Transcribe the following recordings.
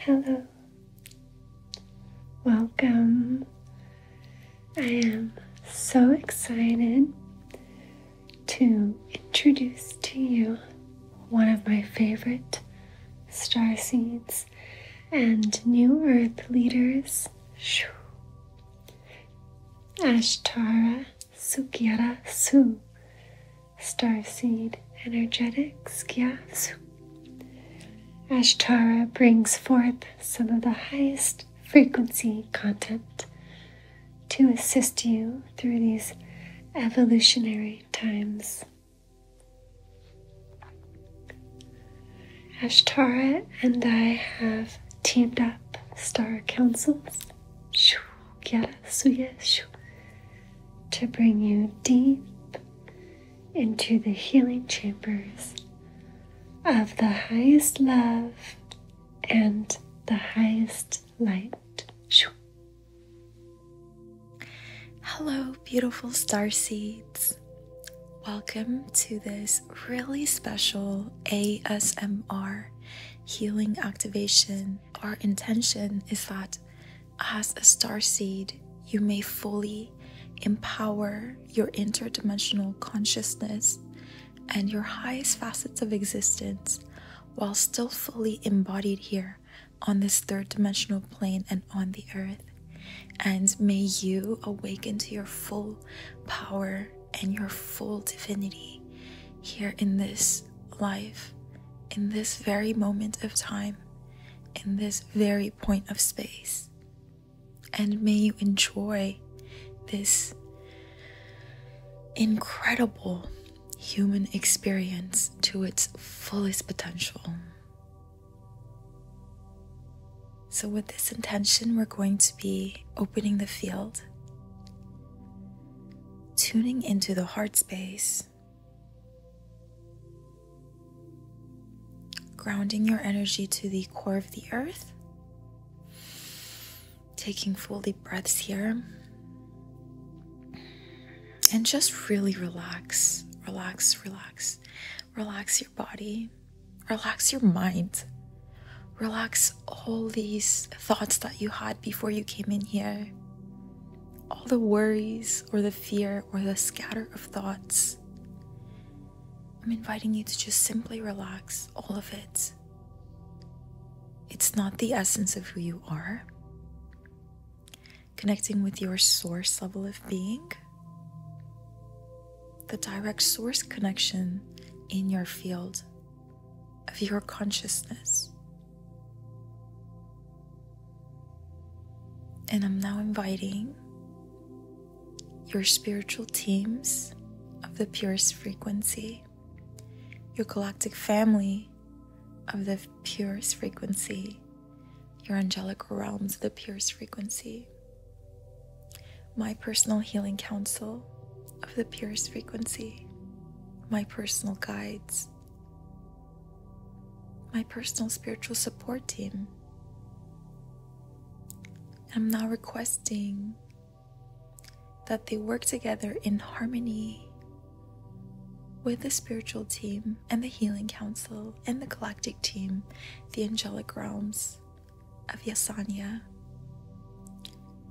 Hello, welcome. I am so excited to introduce to you one of my favorite star seeds and new earth leaders, Ashtara Sukyara Su Star seed Energetics Gyas. Ashtara brings forth some of the highest frequency content to assist you through these evolutionary times. Ashtara and I have teamed up star councils. Yes to bring you deep into the healing chambers of the highest love and the highest light. Hello, beautiful star seeds. Welcome to this really special ASMR healing activation. Our intention is that as a star seed, you may fully empower your interdimensional consciousness and your highest facets of existence while still fully embodied here on this third dimensional plane and on the earth. And may you awaken to your full power and your full divinity here in this life in this very moment of time, in this very point of space. And may you enjoy this incredible human experience to its fullest potential. So, with this intention, we're going to be opening the field, tuning into the heart space grounding your energy to the core of the earth. Taking full deep breaths here. And just really relax, relax, relax. Relax your body, relax your mind, relax all these thoughts that you had before you came in here all the worries or the fear or the scatter of thoughts. I'm inviting you to just simply relax all of it. It's not the essence of who you are. Connecting with your source level of being, the direct source connection in your field of your consciousness. And I'm now inviting your spiritual teams of the purest frequency, your galactic family of the purest frequency, your angelic realms of the purest frequency, my personal healing council of the purest frequency, my personal guides my personal spiritual support team. I'm now requesting that they work together in harmony with the spiritual team and the healing council and the galactic team, the angelic realms of Yasanya.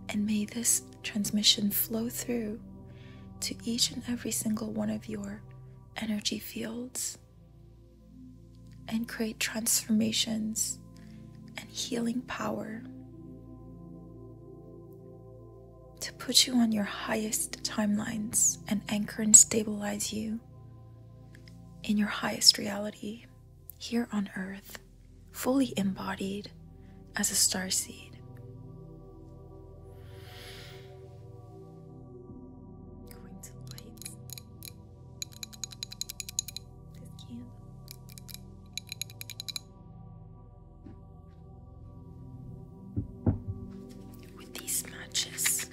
And may this transmission flow through to each and every single one of your energy fields and create transformations and healing power to put you on your highest timelines and anchor and stabilize you in your highest reality here on earth, fully embodied as a star seed. Going to light this candle. With these matches,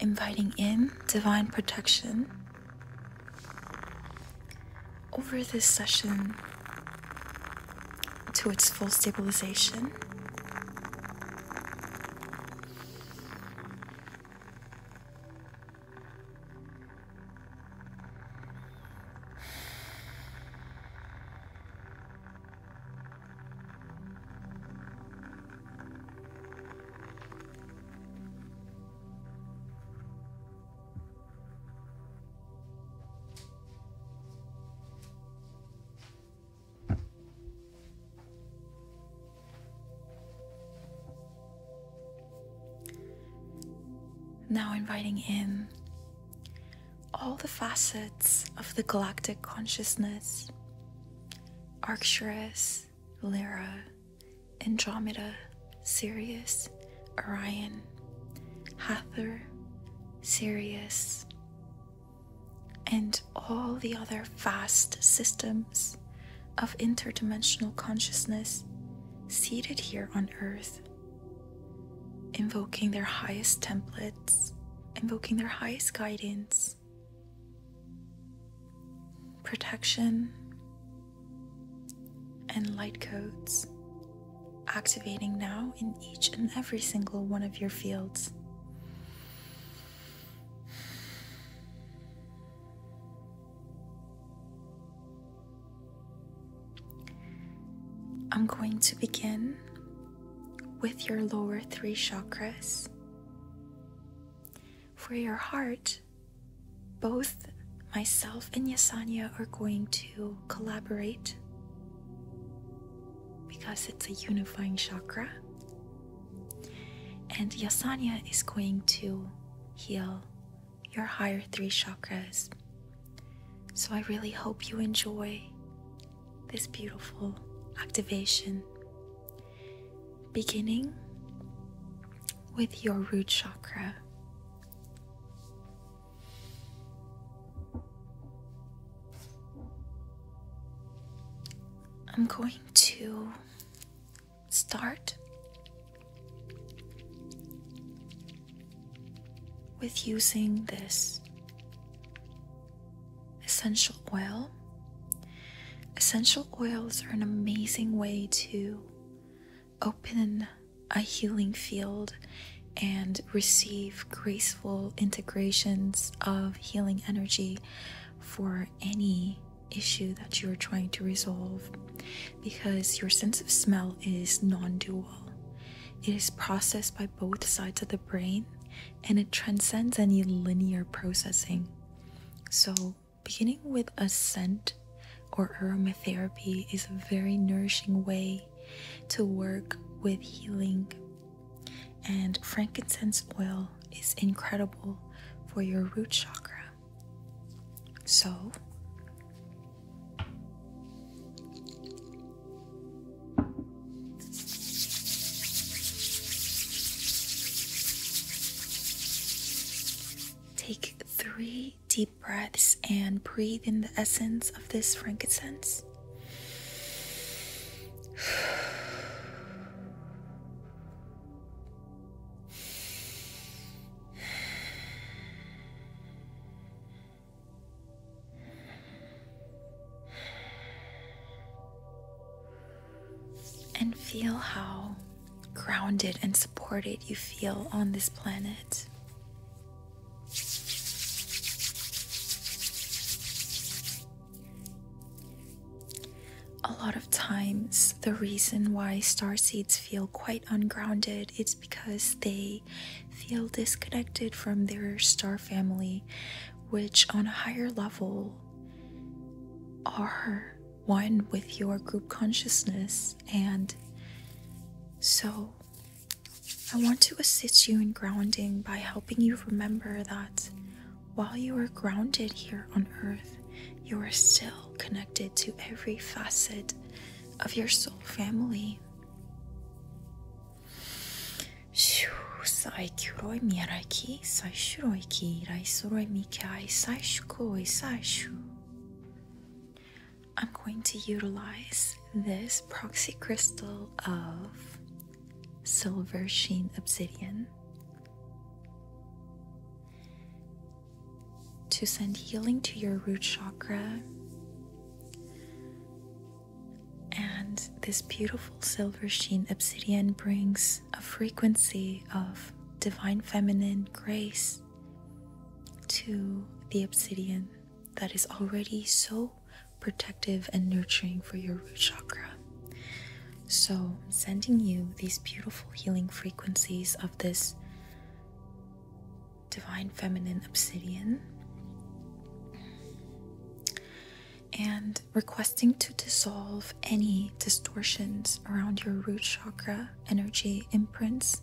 Inviting in divine protection over this session to its full stabilization. Now inviting in all the facets of the galactic consciousness Arcturus, Lyra, Andromeda, Sirius, Orion, Hathor, Sirius, and all the other vast systems of interdimensional consciousness seated here on Earth, invoking their highest templates, invoking their highest guidance, protection, and light codes, activating now in each and every single one of your fields. I'm going to begin with your lower three chakras. For your heart, both myself and Yasanya are going to collaborate because it's a unifying chakra. And Yasanya is going to heal your higher three chakras. So I really hope you enjoy this beautiful activation, beginning with your root chakra, I'm going to start with using this essential oil. Essential oils are an amazing way to open a healing field and receive graceful integrations of healing energy for any issue that you are trying to resolve because your sense of smell is non dual. It is processed by both sides of the brain and it transcends any linear processing. So, beginning with a scent or aromatherapy is a very nourishing way to work with healing. And frankincense oil is incredible for your root chakra. So, take three deep breaths and breathe in the essence of this frankincense. And feel how grounded and supported you feel on this planet. A lot of times, the reason why star seeds feel quite ungrounded is because they feel disconnected from their star family, which on a higher level are one with your group consciousness and so I want to assist you in grounding by helping you remember that while you are grounded here on earth, you are still connected to every facet of your soul family. Sai kuroi miraki, sai shuroi ki, rai soroi mikai, sai shukoi, sai I'm going to utilize this proxy crystal of silver sheen obsidian to send healing to your root chakra. And this beautiful silver sheen obsidian brings a frequency of divine feminine grace to the obsidian that is already so protective and nurturing for your root chakra. So, I'm sending you these beautiful healing frequencies of this divine feminine obsidian and requesting to dissolve any distortions around your root chakra energy imprints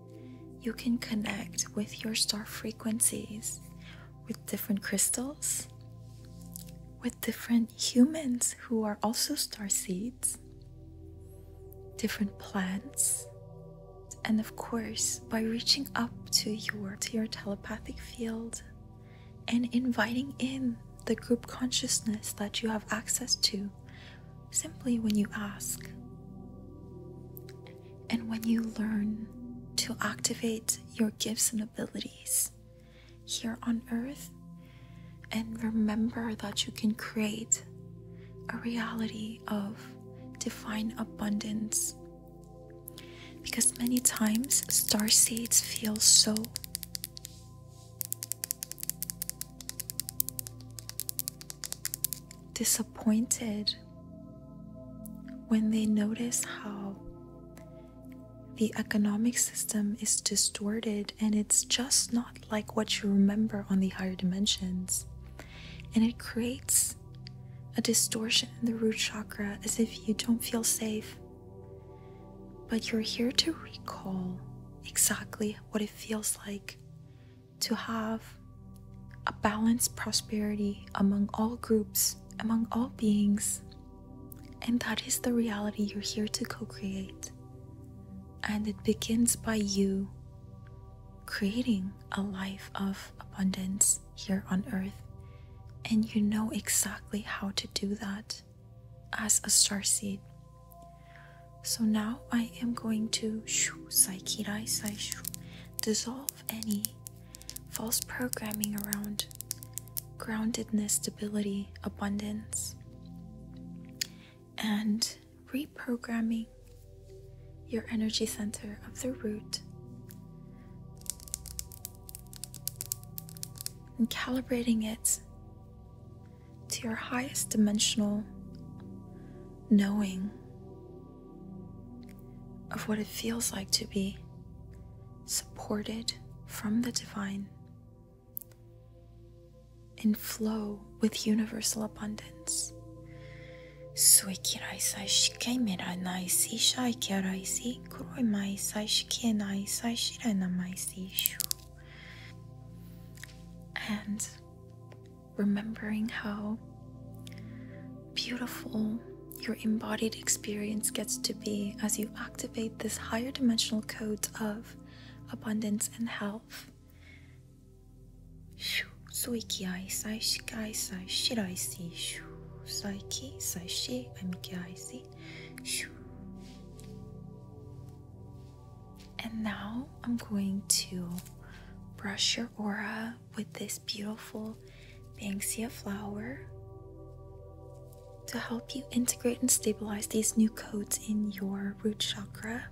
You can connect with your star frequencies, with different crystals, with different humans who are also star seeds, different plants, and of course, by reaching up to your to your telepathic field and inviting in the group consciousness that you have access to simply when you ask and when you learn to activate your gifts and abilities here on earth, and remember that you can create a reality of divine abundance. Because many times star seeds feel so disappointed when they notice how the economic system is distorted and it's just not like what you remember on the higher dimensions, and it creates a distortion in the root chakra as if you don't feel safe. But you're here to recall exactly what it feels like to have a balanced prosperity among all groups, among all beings. And that is the reality you're here to co create. And it begins by you creating a life of abundance here on earth. And you know exactly how to do that as a star seed. So now I am going to dissolve any false programming around groundedness, stability, abundance, and reprogramming your energy center of the root and calibrating it to your highest dimensional knowing of what it feels like to be supported from the divine and flow with universal abundance remembering how beautiful your embodied experience gets to be as you activate this higher dimensional codes of abundance and health. Shoo, soiki ai sai si shoo saiki sai shi si shoo. And now I'm going to brush your aura with this beautiful Banksia flower to help you integrate and stabilize these new codes in your root chakra.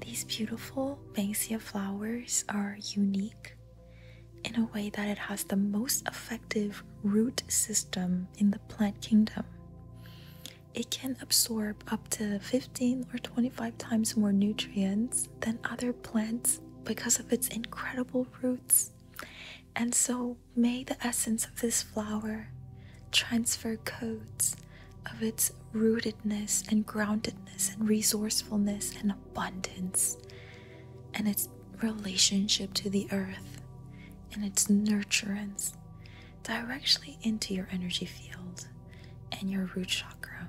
These beautiful Banksia flowers are unique in a way that it has the most effective root system in the plant kingdom. It can absorb up to 15 or 25 times more nutrients than other plants because of its incredible roots. And so, may the essence of this flower transfer codes of its rootedness and groundedness and resourcefulness and abundance and its relationship to the earth and its nurturance directly into your energy field and your root chakra.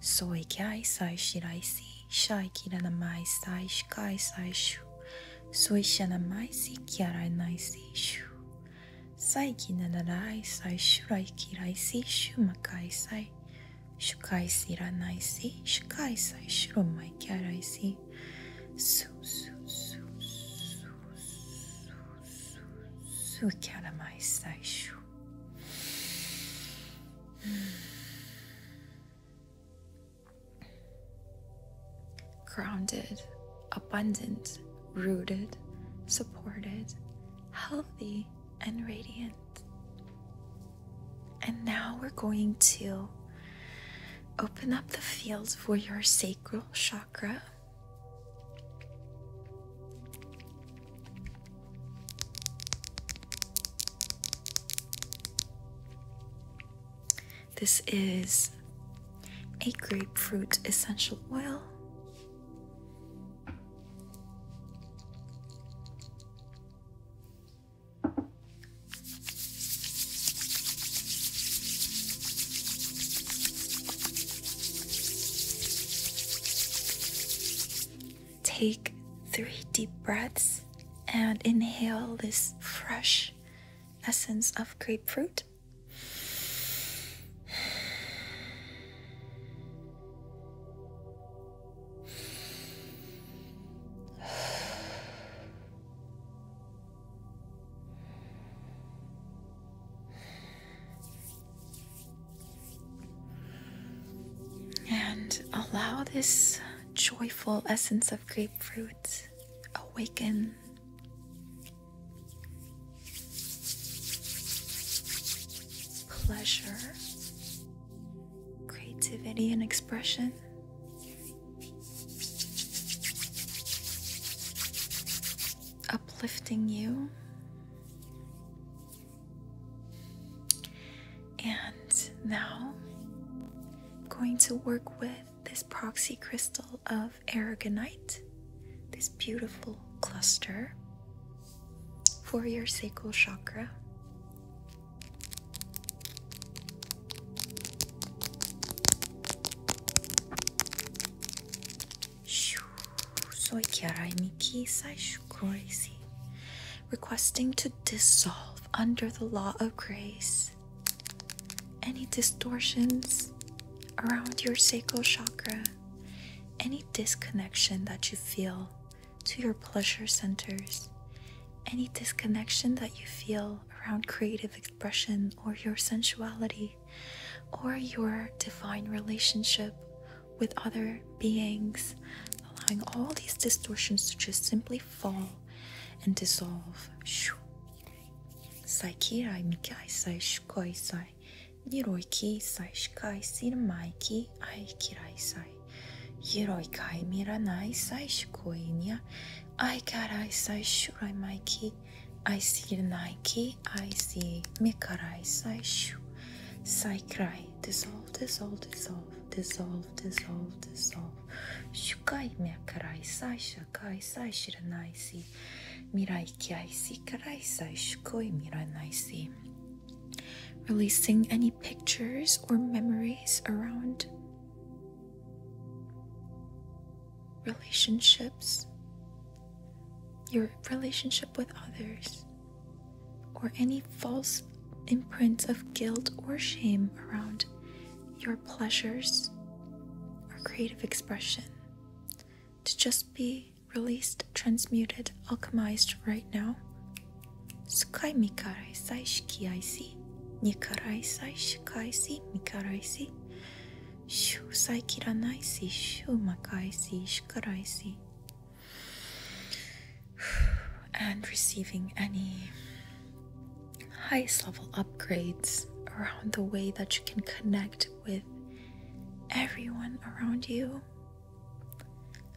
Soy kyai sai shirai si, shai kiranamai sai shikai sai shu, soy shanamai si kyarai nai si shu, sai kinarai sai shurai kirai si shu makai sai, shukai siranai si, shukai sai shuromai kyarai si okay? So, so, so, so, so, so, so, so, Grounded, abundant, rooted, supported, healthy, and radiant. And now we're going to open up the fields for your sacral chakra. This is a grapefruit essential oil. Take three deep breaths and inhale this fresh essence of grapefruit. And allow this joyful essence of grapefruit awaken. Pleasure, creativity, and expression uplifting you and now going to work with this proxy crystal of aragonite this beautiful cluster for your sacral chakra so Kiara Miki crazy," requesting to dissolve under the law of grace any distortions around your sacral chakra, any disconnection that you feel to your pleasure centers, any disconnection that you feel around creative expression or your sensuality or your divine relationship with other beings, allowing all these distortions to just simply fall and dissolve. Saikirai mikai sai shukoi sai niroi ki sai shikai I got eyes, I sure I Mikey. I see Nike, I see Mikarai, I sure. Saikrai, dissolve, dissolve, dissolve, dissolve, dissolve, dissolve. Shukai Mikarai, Sai Shakai, Sai Shiranai, see. Mirai Kiai, see Karai, Sai Shukoi, Miranai, see. Releasing any pictures or memories around relationships, your relationship with others, or any false imprints of guilt or shame around your pleasures or creative expression to just be released, transmuted, alchemized right now. Никарайси, Никарайсай, Шикайси, Микарайси, Шу Сайкиранайси, Шу Макайси, Шкарайси. And receiving any highest level upgrades around the way that you can connect with everyone around you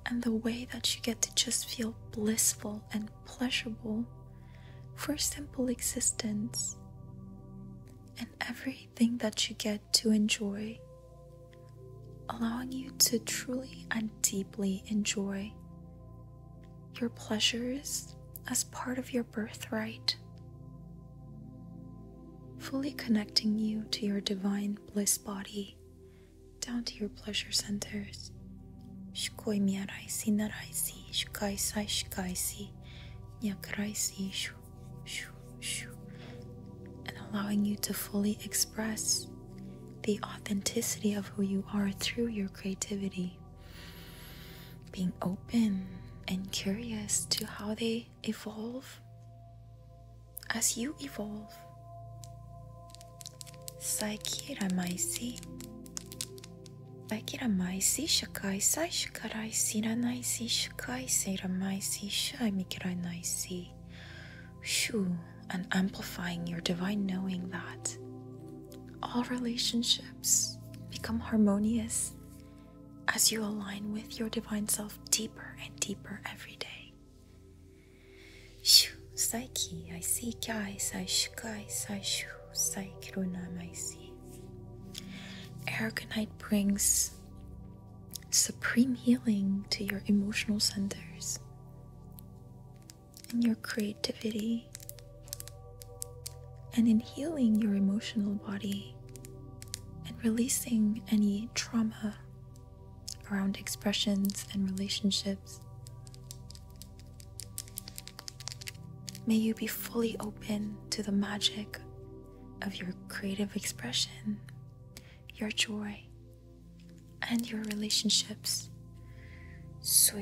and the way that you get to just feel blissful and pleasurable for simple existence, and everything that you get to enjoy, allowing you to truly and deeply enjoy your pleasures as part of your birthright, fully connecting you to your divine bliss body down to your pleasure centers and allowing you to fully express the authenticity of who you are through your creativity. Being open and curious to how they evolve as you evolve. Saikiramaisi. Saikiramaisi, shakai sai, shikarai, siranaisi, shakai, seiramaisi, shai, mikiranaisi. Shu, and amplifying your divine knowing that all relationships become harmonious as you align with your divine self deeper and deeper every day. Shoo. Psyche, I see Kai, Saishkai, Saishu, Saikirunam, I see. Aragonite brings supreme healing to your emotional centers and your creativity. And in healing your emotional body and releasing any trauma around expressions and relationships May you be fully open to the magic of your creative expression, your joy, and your relationships. I'm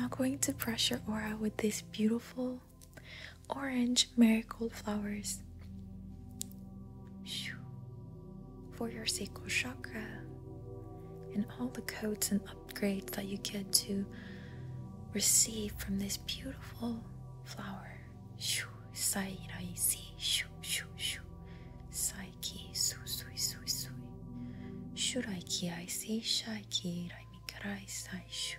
not going to pressure aura with this beautiful yellow, orange marigold flowers. For your sacral chakra and all the codes and upgrades that you get to receive from this beautiful flower. Sai rai si shu shu shu Sai ki su sui sui sui Shurai ki ai si shai ki rai mikarai sai shu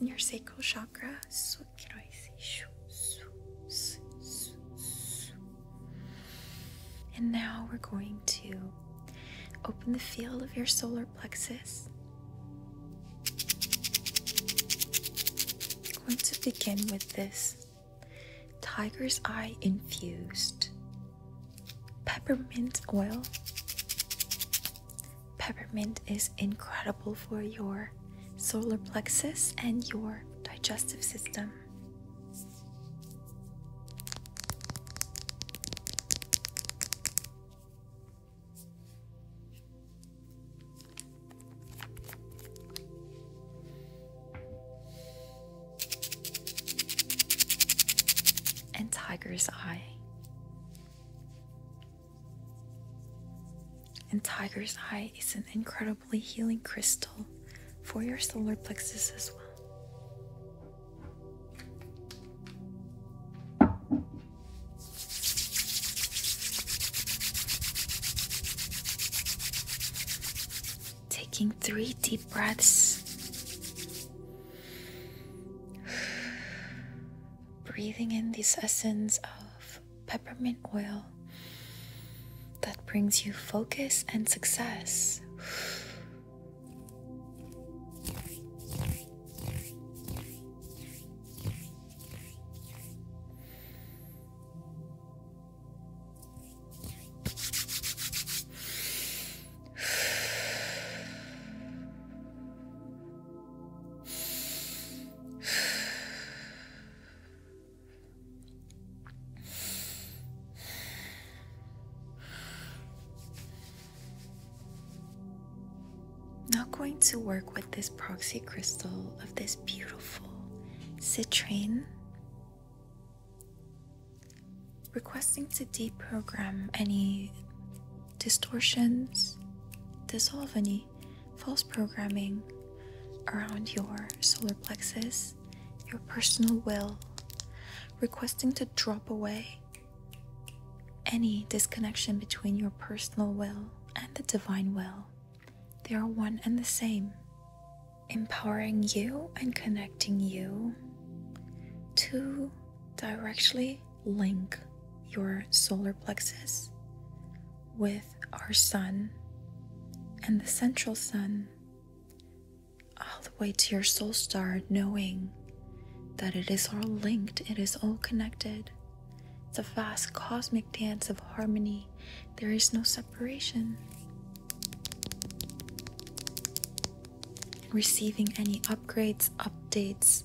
in your sacral chakra. And now we're going to open the field of your solar plexus. I'm going to begin with this tiger's eye infused peppermint oil Peppermint is incredible for your solar plexus and your digestive system. And tiger's eye. And Tiger's Eye is an incredibly healing crystal for your solar plexus as well. Taking three deep breaths, breathing in these essences of peppermint oil that brings you focus and success. Not going to work with this proxy crystal of this beautiful citrine. Requesting to deprogram any distortions, dissolve any false programming around your solar plexus, your personal will, requesting to drop away any disconnection between your personal will and the divine will. They are one and the same, empowering you and connecting you to directly link your solar plexus with our sun and the central sun all the way to your soul star, knowing that it is all linked, it is all connected. It's a vast cosmic dance of harmony. There is no separation. Receiving any upgrades, updates,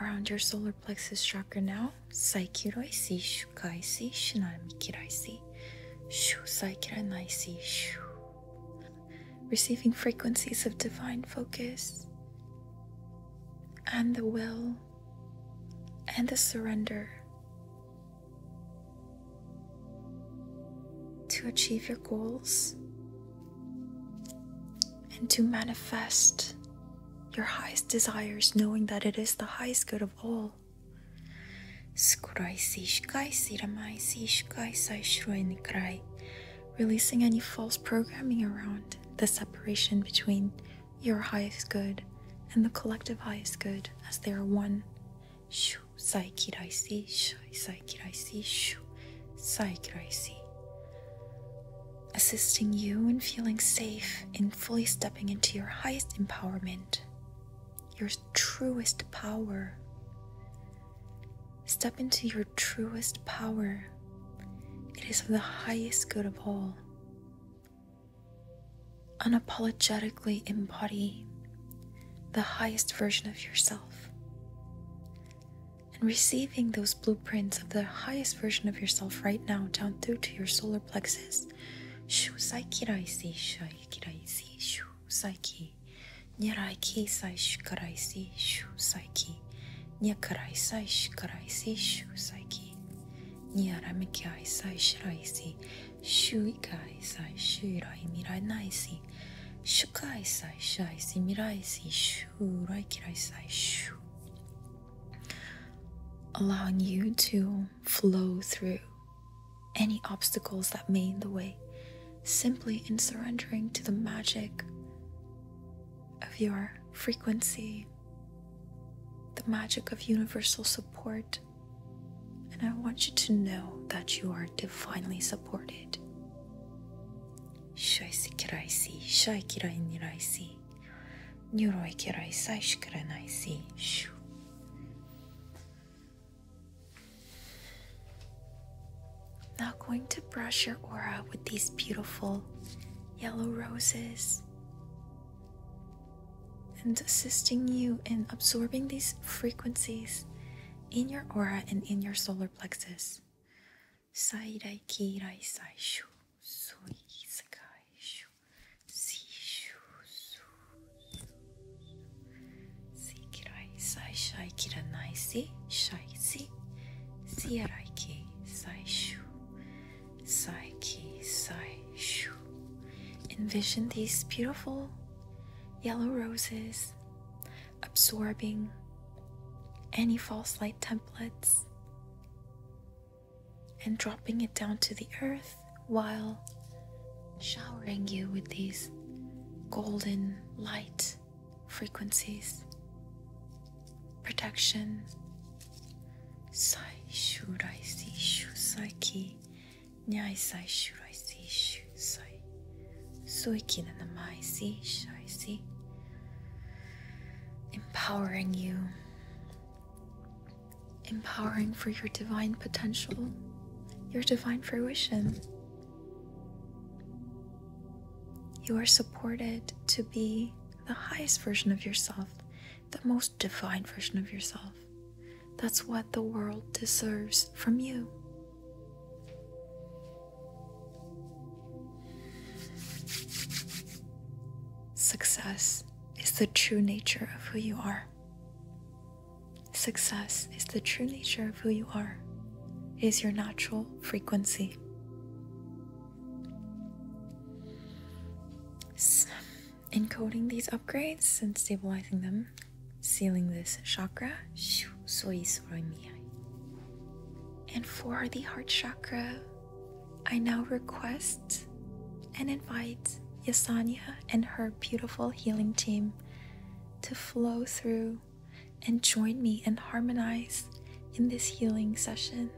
around your solar plexus chakra now. Saikiraisi, shukaisi, shinamikiraisi, shu saikiranaisi, shu. Receiving frequencies of divine focus and the will and the surrender to achieve your goals and to manifest your highest desires, knowing that it is the highest good of all. Releasing any false programming around the separation between your highest good and the collective highest good as they are one. Psychic Gracie. Assisting you in feeling safe, in fully stepping into your highest empowerment, your truest power. Step into your truest power. It is for the highest good of all. Unapologetically embody the highest version of yourself and receiving those blueprints of the highest version of yourself right now down through to your solar plexus. Shu saikiraisi shaikiraisi shu saiki nyaraiki sai shikaraisi shu saiki nyakarai sai shikaraisi shu saiki nyaramikai sai shiraisi shuikai sai shirai miranaisi shukai sai shaisi miraisi shu allowing you to flow through any obstacles that may in the way simply in surrendering to the magic of your frequency the magic of universal support and i want you to know that you are divinely supported now going to brush your aura with these beautiful yellow roses and assisting you in absorbing these frequencies in your aura and in your solar plexus. 再来黄来最初水界初水初水嫌い最初い切らないし最し水やらいき最初最き最初 Envision these beautiful yellow roses absorbing any false light templates and dropping it down to the earth while showering you with these golden light frequencies. Protection. Sai shurai si shu sai ki nyai sai na namai si empowering you, empowering for your divine potential, your divine fruition. You are supported to be the highest version of yourself, the most divine version of yourself. That's what the world deserves from you. Success is the true nature of who you are. Success is the true nature of who you are, it is your natural frequency. encoding these upgrades and stabilizing them, sealing this chakra. 所以 and for the heart chakra, I now request and invite Yasanya and her beautiful healing team to flow through and join me and harmonize in this healing session.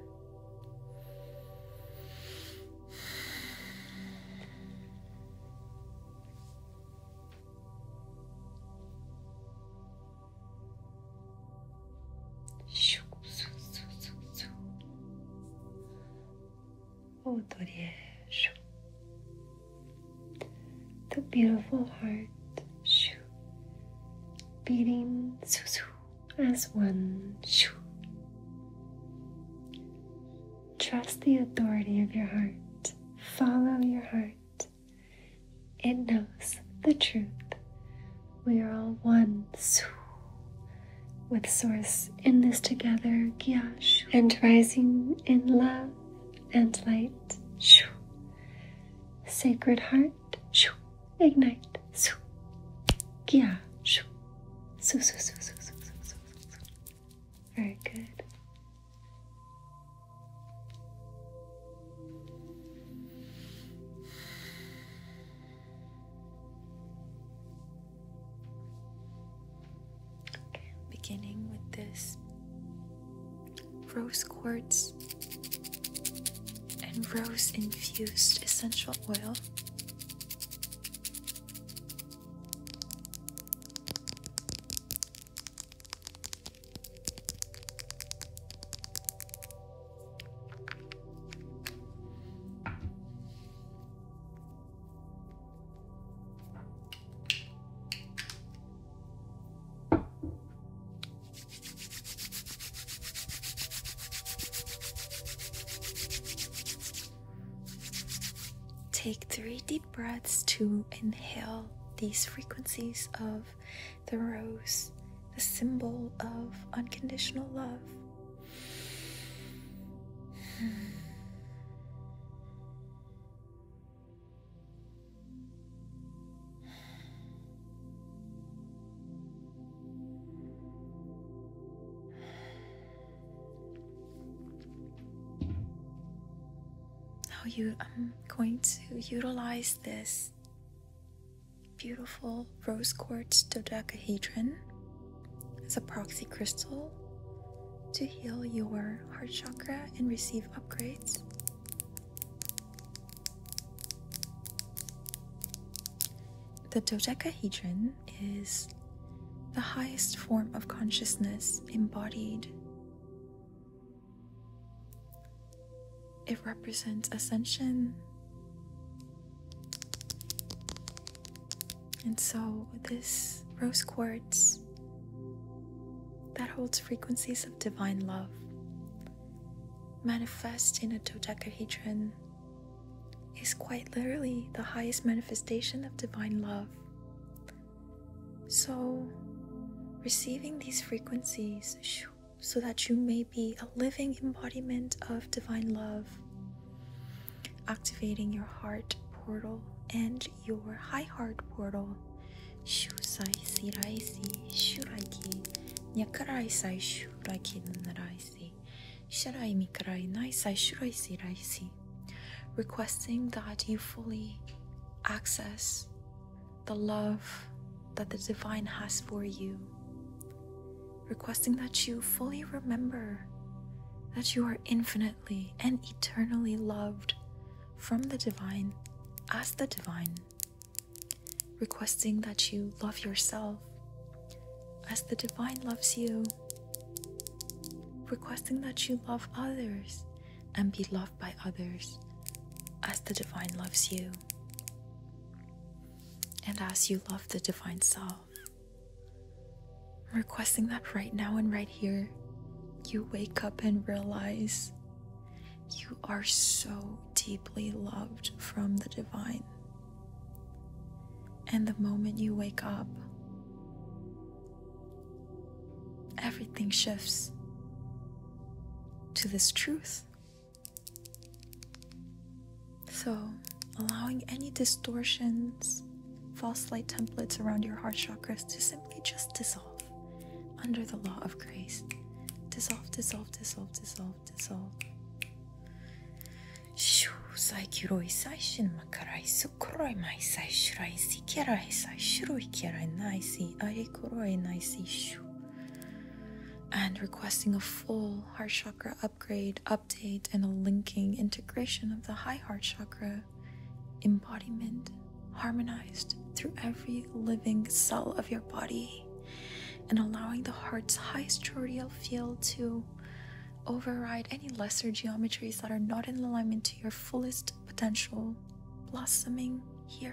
Shoo, Oh, Doriesh. The beautiful heart shoo, beating as one. shoo. Trust the authority of your heart. Follow your heart it. knows the truth. We are all one with Source in this together, and rising in love and light. Sacred Heart, ignite. Very good. Beginning with this rose quartz and rose infused essential oil. Take three deep breaths to inhale these frequencies of the rose, the symbol of unconditional love. Now you I'm going to utilize this beautiful rose quartz dodecahedron as a proxy crystal to heal your heart chakra and receive upgrades. The dodecahedron is the highest form of consciousness embodied it represents ascension. And so, this rose quartz that holds frequencies of divine love manifest in a dodecahedron is quite literally the highest manifestation of divine love. So, receiving these frequencies so that you may be a living embodiment of divine love, activating your heart portal and your high heart portal. Shusai Siraisi Shuraki Nyakaraisai Shuraki Naraisi Sharai Mikarai Naisai Shurai Siraisi requesting that you fully access the love that the divine has for you, requesting that you fully remember that you are infinitely and eternally loved from the divine as the divine, requesting that you love yourself as the divine loves you, requesting that you love others and be loved by others as the divine loves you. And as you love the Divine Self, I'm requesting that right now and right here, you wake up and realize you are so deeply loved from the Divine. And the moment you wake up, everything shifts to this truth so, allowing any distortions, false light templates around your heart chakras to simply just dissolve under the law of grace. Dissolve, dissolve, dissolve, dissolve, dissolve. Shoo, sai kiroi sai shin makarai sukuroi mai sai shirai si kerai sai shiroi kerai nai si are kuroi nai si shoo and requesting a full heart chakra upgrade, update, and a linking integration of the high heart chakra embodiment harmonized through every living cell of your body and allowing the heart's highest choroidal field to override any lesser geometries that are not in alignment to your fullest potential blossoming here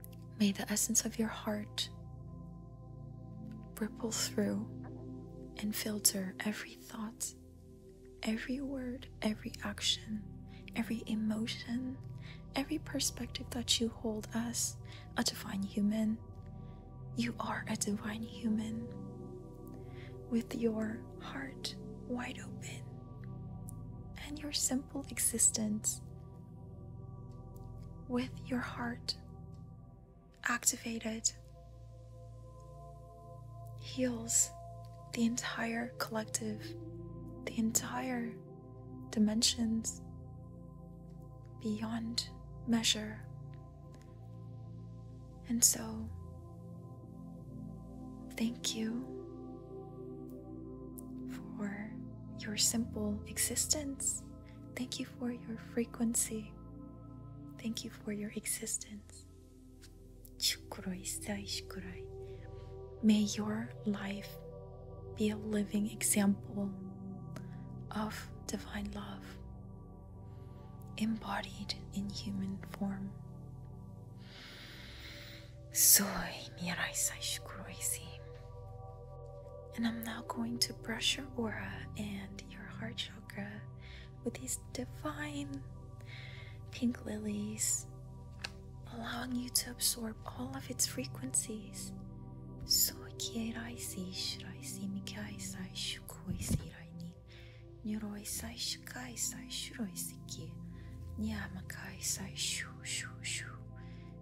May the essence of your heart ripple through and filter every thought, every word, every action, every emotion, every perspective that you hold as a divine human. You are a divine human with your heart wide open and your simple existence with your heart activated heals the entire collective, the entire dimensions beyond measure. And so, thank you for your simple existence. Thank you for your frequency. Thank you for your existence. May your life be a living example of divine love embodied in human form. Soy mi raíz And I'm now going to brush your aura and your heart chakra with these divine pink lilies, allowing you to absorb all of its frequencies. So kieraisi shiraisi mikaisai shukoisi raini niroisai shikaisai shuroisiki niamakaisai shu shu shu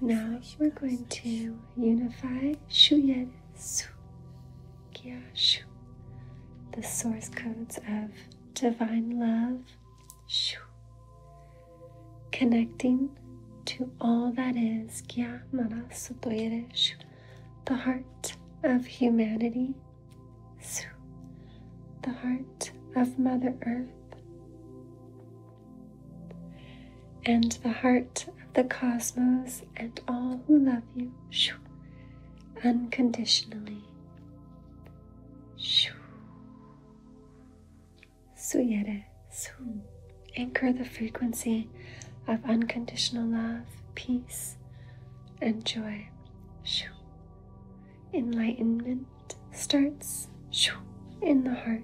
now we're going to unify Shu Yet Su Kia Shu, the source codes of divine love, Shu, connecting to all that is Kia Mara Sutoyere Shu, the heart of humanity, Su, the heart of Mother Earth and the heart of the cosmos and all who love you unconditionally. Shoo. Suyere, sun. Anchor the frequency of unconditional love, peace, and joy. Shoo. Enlightenment starts shoo, in the heart.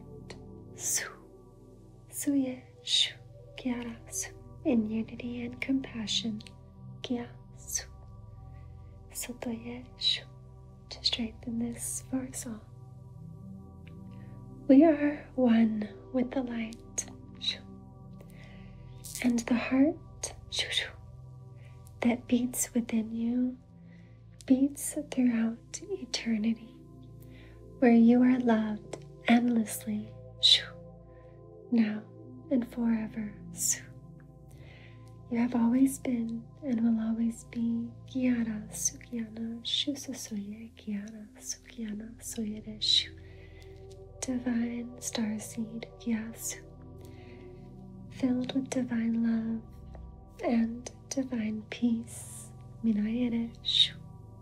Suye shu kya In unity and compassion, kya su. Sotoye shu. To strengthen this for us all. We are one with the light shu. and the heart shu, shu, that beats within you beats throughout out eternity where you are loved endlessly now and forever. You have always been and will always be Kiara, Sukiana, Shusasoye Kiara, Sukiana, Soyereshu Divine star seed. Yes. Filled with divine love and divine peace Minayereshu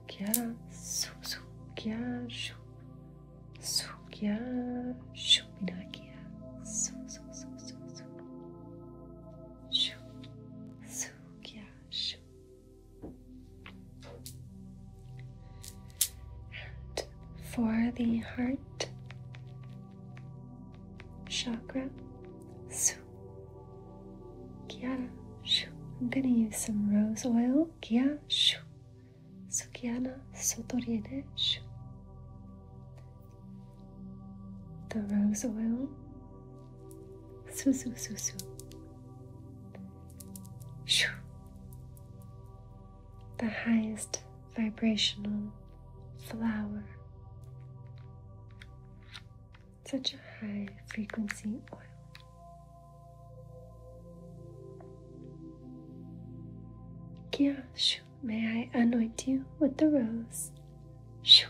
Sukya, su, sukya, shu, sukya, shu, minakia, su, su, su, su, su, shu, sukya, shu. And for the heart chakra, su. Kiara, shoo. I'm gonna use some rose oil. Kia, shoo. Sukiana, sotoriene, The rose oil. Su, Shoo. The highest vibrational flower such a high frequency oil. Kia, shoo, may I anoint you with the rose? Shoo,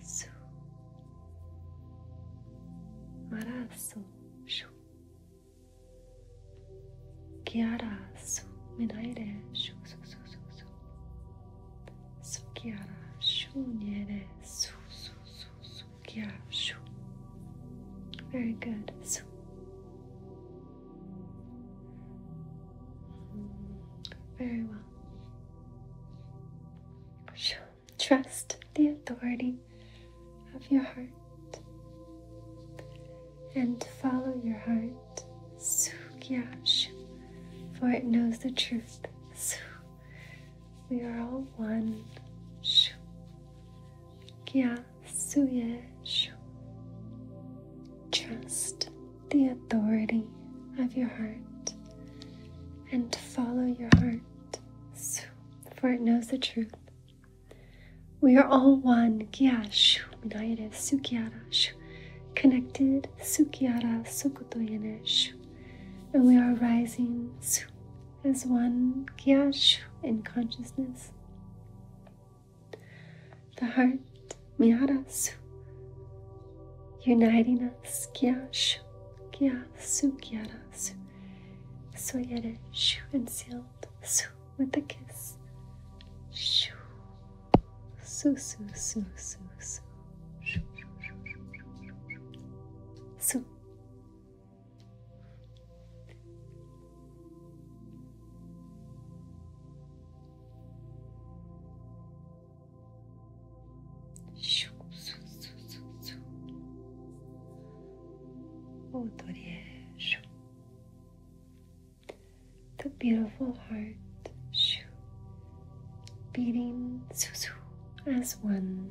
su. Marasu, shoo. Kiara, su, minaire, shoo, su, su, su, su. Su, kiara, shoo, niere, su, su, su, su. Kira. Very good. Very well. Trust the authority of your heart and follow your heart. For it knows the truth. We are all one. Shu. Kya suye Trust the authority of your heart and follow your heart, for it knows the truth. We are all one. Kya shu. United sukyara shu. Connected sukyara sukutoyene shu. And we are rising as one Gyash in consciousness. The heart Myarasu uniting us Gyashu, Gyasu, Gyarasu, Soyere Shu sealed with a kiss. Shu Su Su Su Su Su Su Su Oh, Dorier, the beautiful heart. The beating as one.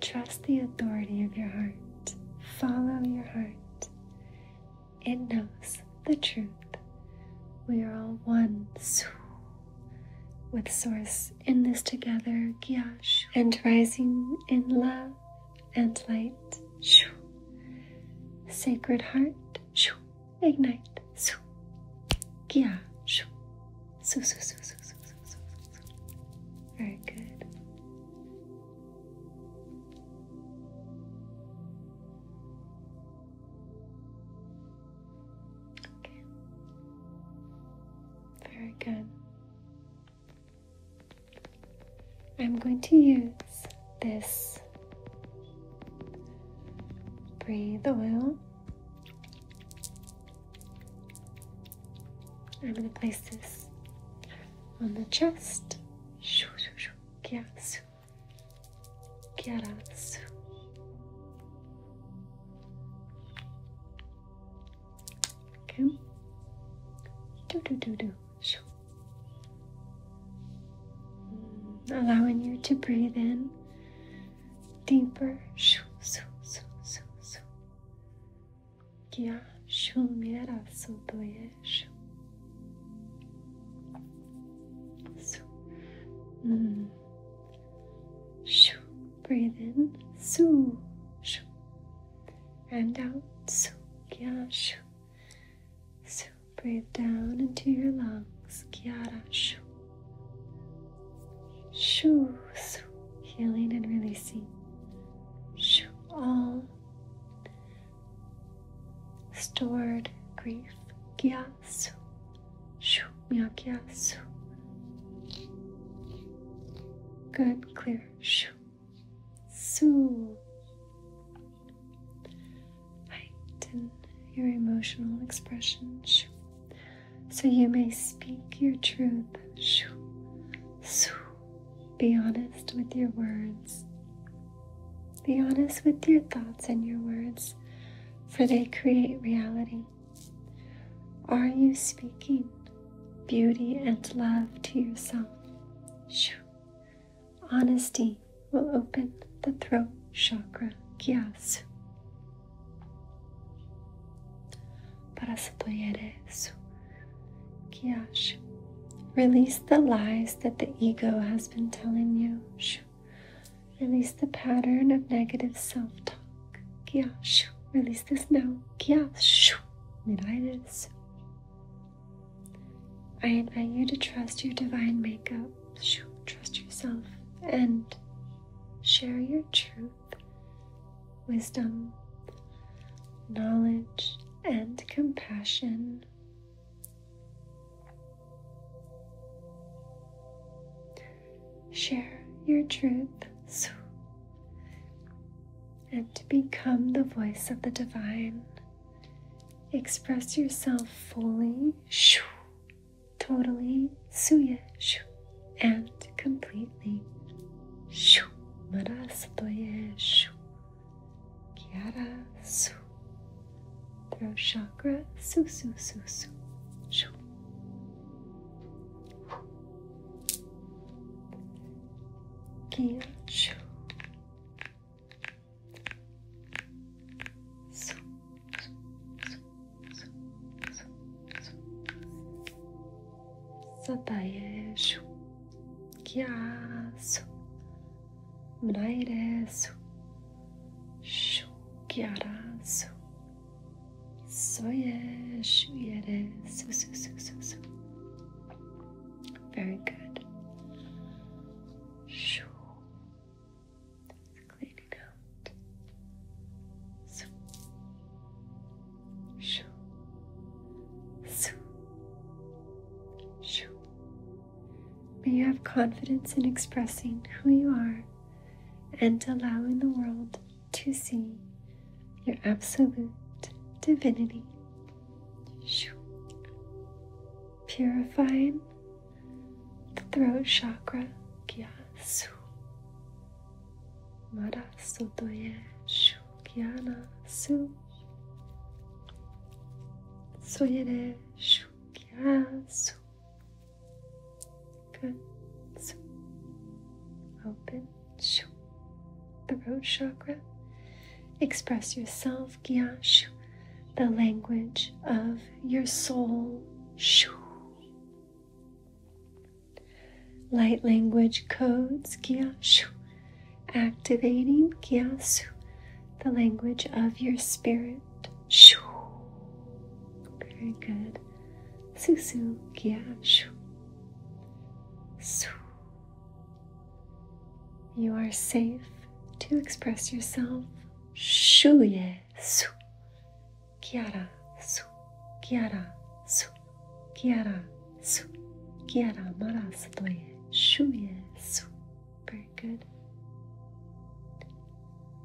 Trust the authority of your heart. Follow your heart. It knows the truth. We are all one with Source in this together, and rising in love and light. Sacred Heart shoo, ignite, shoo, kia, shoo, shoo, shoo, shoo, shoo, shoo, shoo, shoo, shoo. Very good. Okay. Very good. I'm going to use this breathe oil I'm going to place this on the chest. Shoo, shoo, shoo. Gyatsu. Gyatsu. Okay. Do, do, do, do. Shoo. Mm, allowing you to breathe in deeper. Shoo, shoo, shoo, shoo, shoo. Kya shoo mera so to ye shoo. Shoo. Mm. Shoo. Breathe in. Shoo. Shoo. And out. Shoo. Kya shoo. Shoo. Breathe down into your lungs. Kya shoo. Shoo, shoo, healing and releasing. Shoo, all stored grief. Kya su. Shoo, mya kya su. Good, clear. Shoo, su height your emotional expression. So you may speak your truth. Be honest with your words. Be honest with your thoughts and your words, for they create reality. Are you speaking beauty and love to yourself? Honesty will open the throat chakra. Yes para Satoyere Kyash. Release the lies that the ego has been telling you. Release the pattern of negative self talk. Kyash. Release this now. Kyash. Miraides. I invite you to trust your divine makeup trust yourself and share your truth, wisdom, knowledge, and compassion. Share your truth and become the voice of the divine. Express yourself fully totally suya shu and completely shu marastoye shu kyara su throat chakra su su su su shu kia su Satayeshu Kyasu Mnairesu Shukyarasu Soyeshu Yeresu Su Su Very good Shu clean it out. So, shoo, so, shoo. May you have confidence in expressing who you are and allowing the world to see your absolute divinity. Shoo. Purifying the throat chakra, kya su. Mara sotoye shu kyana su. Soyere shu kya su. Good. Su. Open shu. Throat chakra. Express yourself, kya shu. The language of your soul, shu. Light language codes, Gyashu, activating Gyashu, the language of your spirit. Shu. Very good. Susu Gyashu. Su. You are safe to express yourself. Shuye Su. Kiara su, kiara su, kiara su, kiara mara stoje, šuje, su. Very good.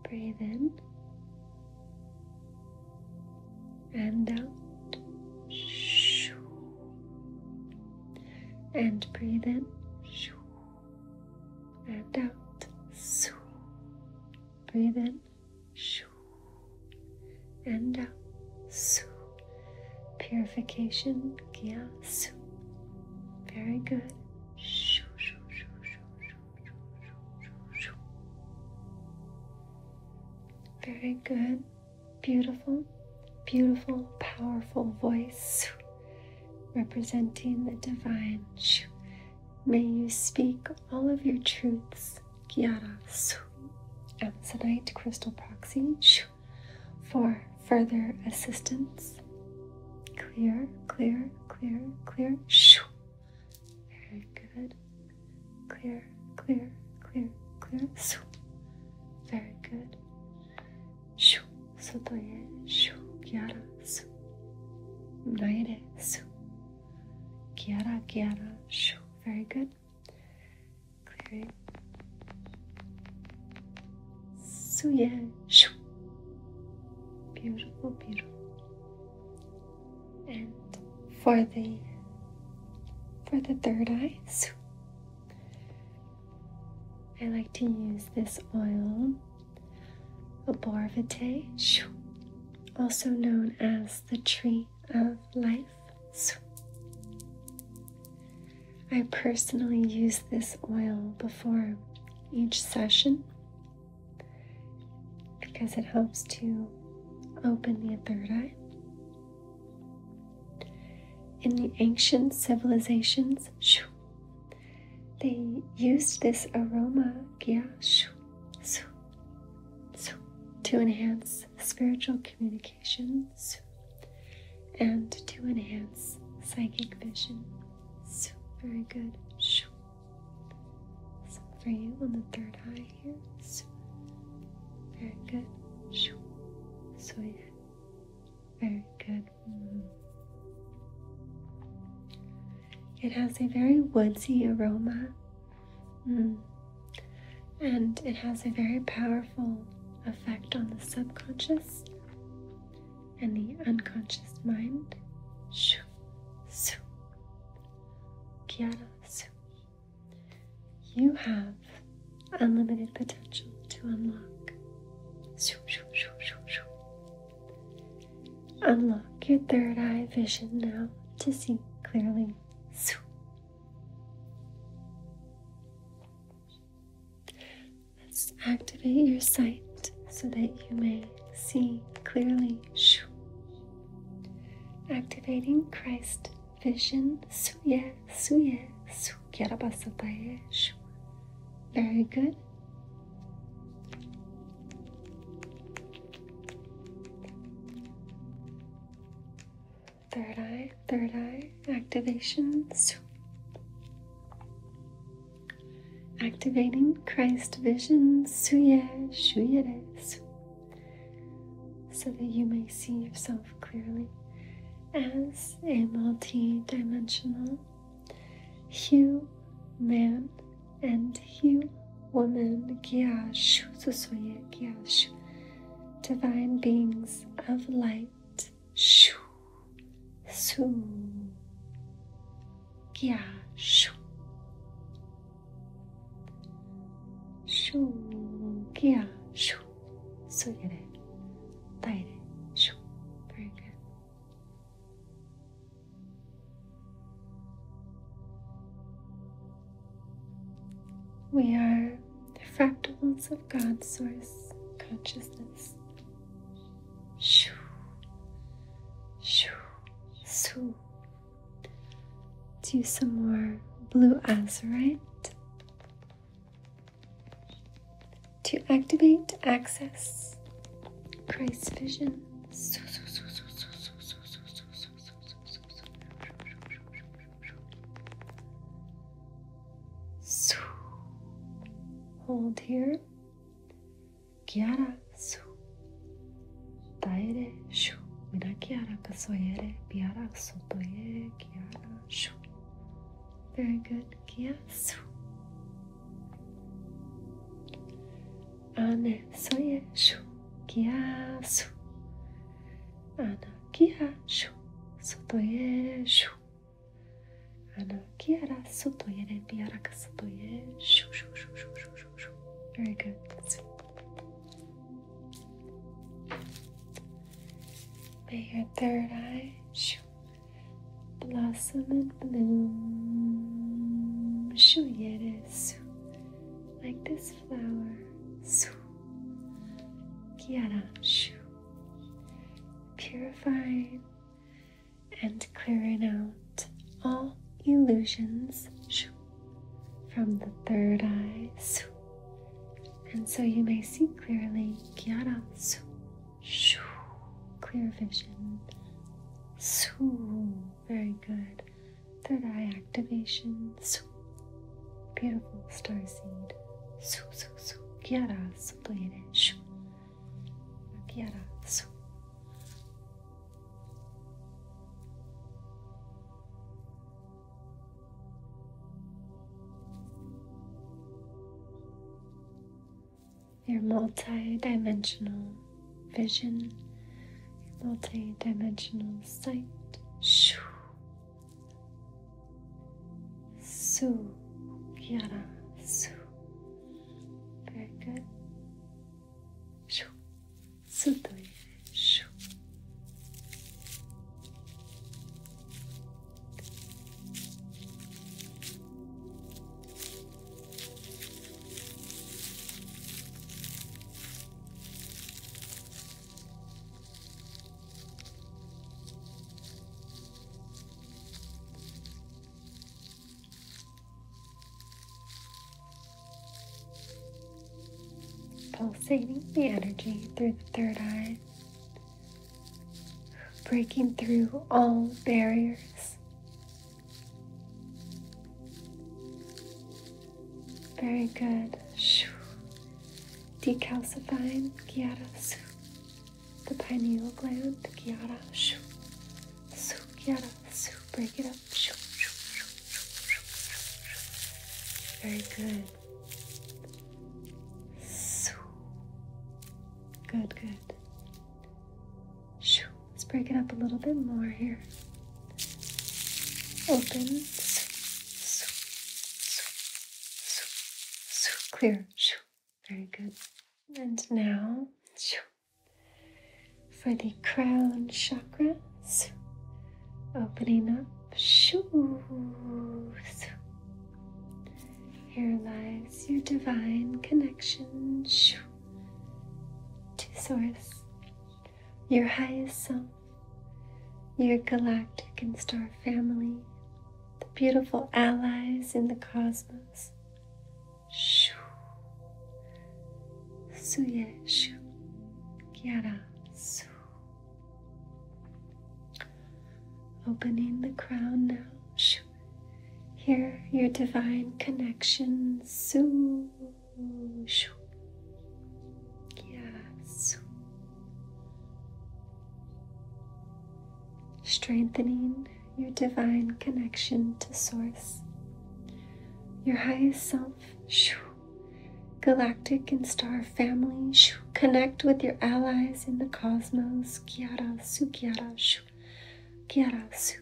Breathe in and out. Shoo. And breathe in. Shoo and out. Breathe in. And out. Purification. Very good. Very good. Beautiful, beautiful, powerful voice representing the divine. May you speak all of your truths, Gyara Amazonite Crystal Proxy, for further assistance. Clear, clear, clear, clear. Very good. Clear, clear, clear, clear. Very good. So to je Gyara su naire su kiara kiara shu very good clearing suye shu beautiful beautiful and for the for the third eye I like to use this oil Aborvitae, also known as the tree of life. I personally use this oil before each session because it helps to open the third eye. In the ancient civilizations, they used this aroma gya shu, su, to enhance spiritual communications and to enhance psychic vision. Very good. Shu. So for you on the third eye here. Very good. Shu. So Very good. Mm-hmm. It has a very woodsy aroma mm. and it has a very powerful effect on the subconscious and the unconscious mind. You have unlimited potential to unlock. Unlock your third eye vision now to see clearly. Let's activate your sight so that you may see clearly. Activating Christ vision. Very good. Third eye, third eye activations. Activating Christ vision, so that you may see yourself clearly as a multi dimensional you, man and you, woman divine beings of light shu su gya shu shu gya shu so yere daire shu very good we are the fractals of God's source consciousness. Shoo, shoo, shoo. Do some more blue azurite to activate access Christ's Vision. Hold here. Chiara su. Taere shu. Mira Chiara kasoyere. Piara sotoye. Chiara shu. Very good. Kia su. Ane soye shu kia su. Ana kia shu sotoye shu. Ana kiara sotoye ne biaraka sotoye shu shu shu shu shu shu shu. Very good. Let's see. May your third eye shu blossom and bloom. Shuyere, like this flower. Su. Kiara, shu. Purifying and clearing out all illusions shoo, from the third eye. Su. And so you may see clearly. Kiara, su. Clear vision. Su. Very good. Third eye activation. Beautiful star seed. So su su. Kiara suplenesh. Kiara su your multi-dimensional vision, your multi-dimensional sight. Shoo. Su, Kiara, Su. Very good. Shoo. Sutoi. Shoo. Pulsating the energy through the third eye, breaking through all barriers very good. Decalcifying Gyara Su. The pineal gland, Gyara Su. Su Gyara Su. Break it up. Shoo, shoo, shoo, Very good. Su. Good, good. Shoo. Let's break it up a little bit more here. Open. Clear. Shoo! Very good. And now for the crown chakras, Opening up. Shoo! Here lies your divine connection to Source, your highest self, your galactic and star family, the beautiful allies in the cosmos. Shoo. Suye shu. Kiara su. Opening the crown now. Shoo. Hear your divine connection. Yes. Strengthening your divine connection to Source, your highest self. shu. Galactic and star family, connect with your allies in the cosmos. Kiara, Sukiara, shu. Kyarasu,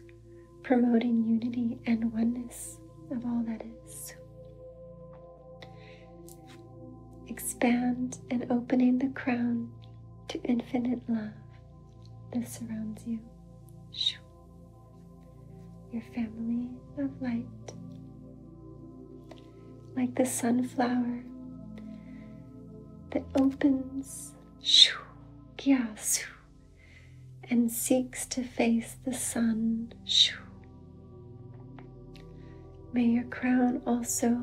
promoting unity and oneness of all that is. Expand and opening the crown to infinite love that surrounds you. Your family of light. Like the sunflower that opens and seeks to face the sun. May your crown also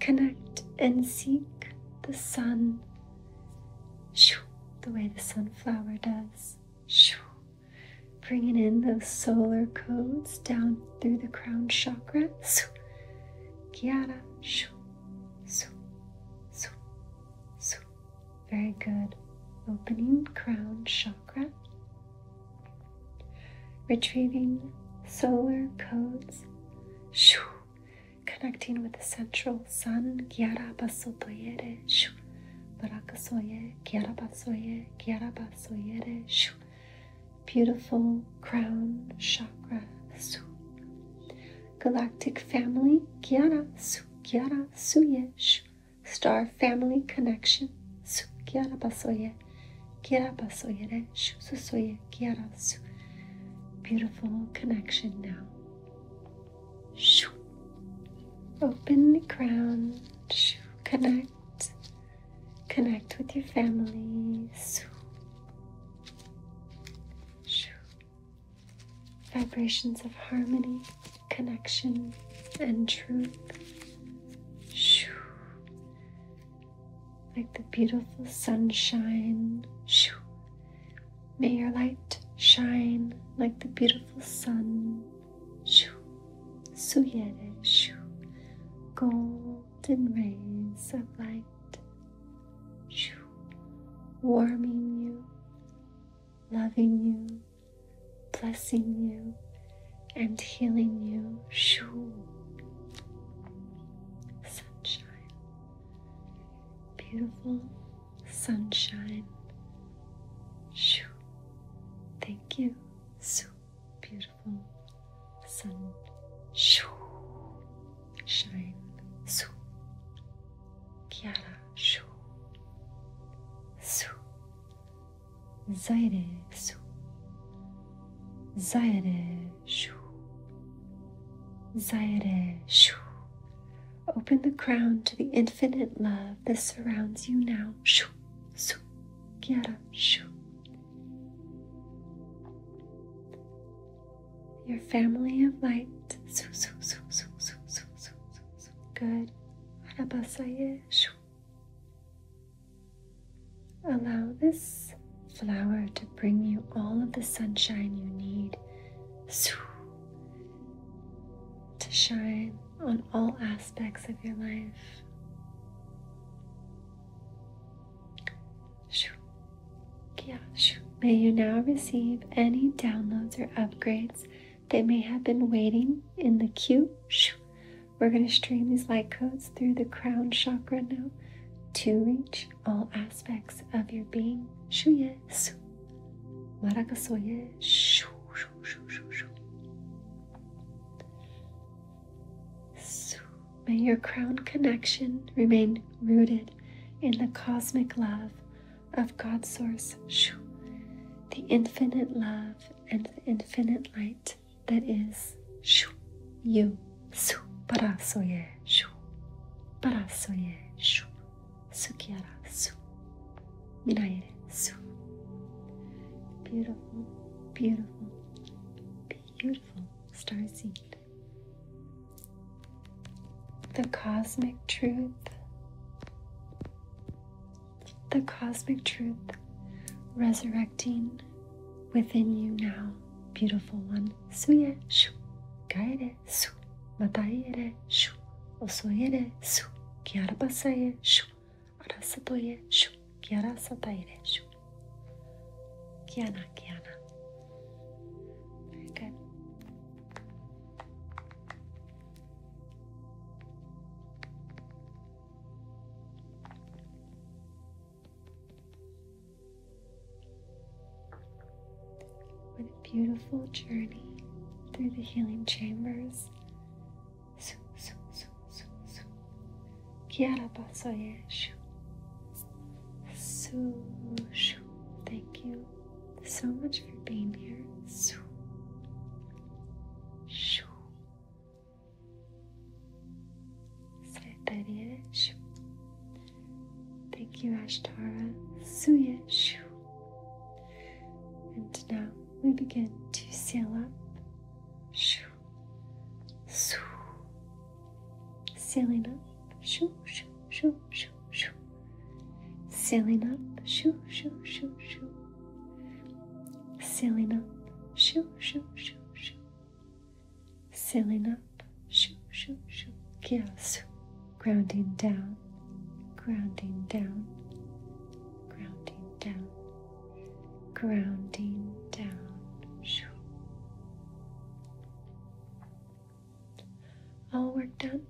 connect and seek the sun the way the sunflower does. Bringing in those solar codes down through the crown chakra. Kiara swoop, swoop, swoop. Very good. Opening crown chakra. Retrieving solar codes. Shoo. Connecting with the central sun. Gyarabasotoyere. Shoo. Barakasoye. Gyarabasoye. Gyarabasoyere. Shoo. Beautiful crown chakra. Shoo. Galactic Family Gyara Sugyara Suyesh Star Family Connection Sugyara Basoye Gyara Basoyere Shusoye kiara Su Beautiful connection now. Shoo. Open the crown. Shoo. Connect. Connect with your families. Shoo. Shoo vibrations of harmony, connection, and truth. Shoo. Like the beautiful sunshine. Shoo. May your light shine like the beautiful sun. Shoo. So Suyere. Shoo. Golden rays of light warming you, loving you, blessing you, and healing you. Shoo. Sunshine. Beautiful sunshine. Shoo. Thank you. So beautiful. Sun. Shoo shine, su, chiara, su, su, zaire, su, zaire, shu, zaire, shu. Open the crown to the infinite love that surrounds you now. Shu, su, chiara, shu your family of light. Good. Allow this flower to bring you all of the sunshine you need to shine on all aspects of your life. May you now receive any downloads or upgrades that may have been waiting in the queue. We're going to stream these light codes through the crown chakra now to reach all aspects of your being. Shuye su. Marakasoye shu. May your crown connection remain rooted in the cosmic love of God Source, the infinite love and the infinite light that is you. su Parasoye, parasoye, sukiara, su, minaire, su. Beautiful, beautiful, beautiful star seed the cosmic truth. The cosmic truth resurrecting within you now, beautiful one. Suye shu, gaere su, mataiere shu, osoyere su, kiarabasaye shu, arasatoye shu, kiarasataire shu. Kiana, kiana. Very good. What a beautiful journey through the healing chambers. Su, su, su, su, su. Kiara pasoye. Su, Thank you so much for being here. Shoo. Shoo. Thank you, Ashtara Suya Shoo. And now we begin to seal up. Shoo. Shoo. Sailing up, shoo, shoo, shoo, shoo, shoo. Sailing up, shoo, shoo, shoo, shoo. Sailing up, shoo, shoo, shoo, shoo. Sailing up, shoo, shoo, shoo. Kiasu. Grounding down, grounding down, grounding down, grounding down. Shoo all work done, and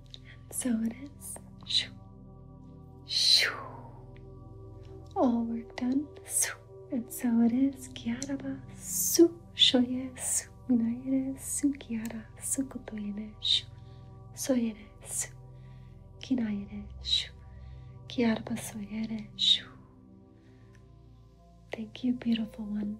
so it is. Shoo, shoo. All work done, su, and so it is. Kiaraba su, shoye su, minaire su, kiara su, kotoire shu, soyere su, kinaire shu, kiaraba soyere shu. Thank you, beautiful one.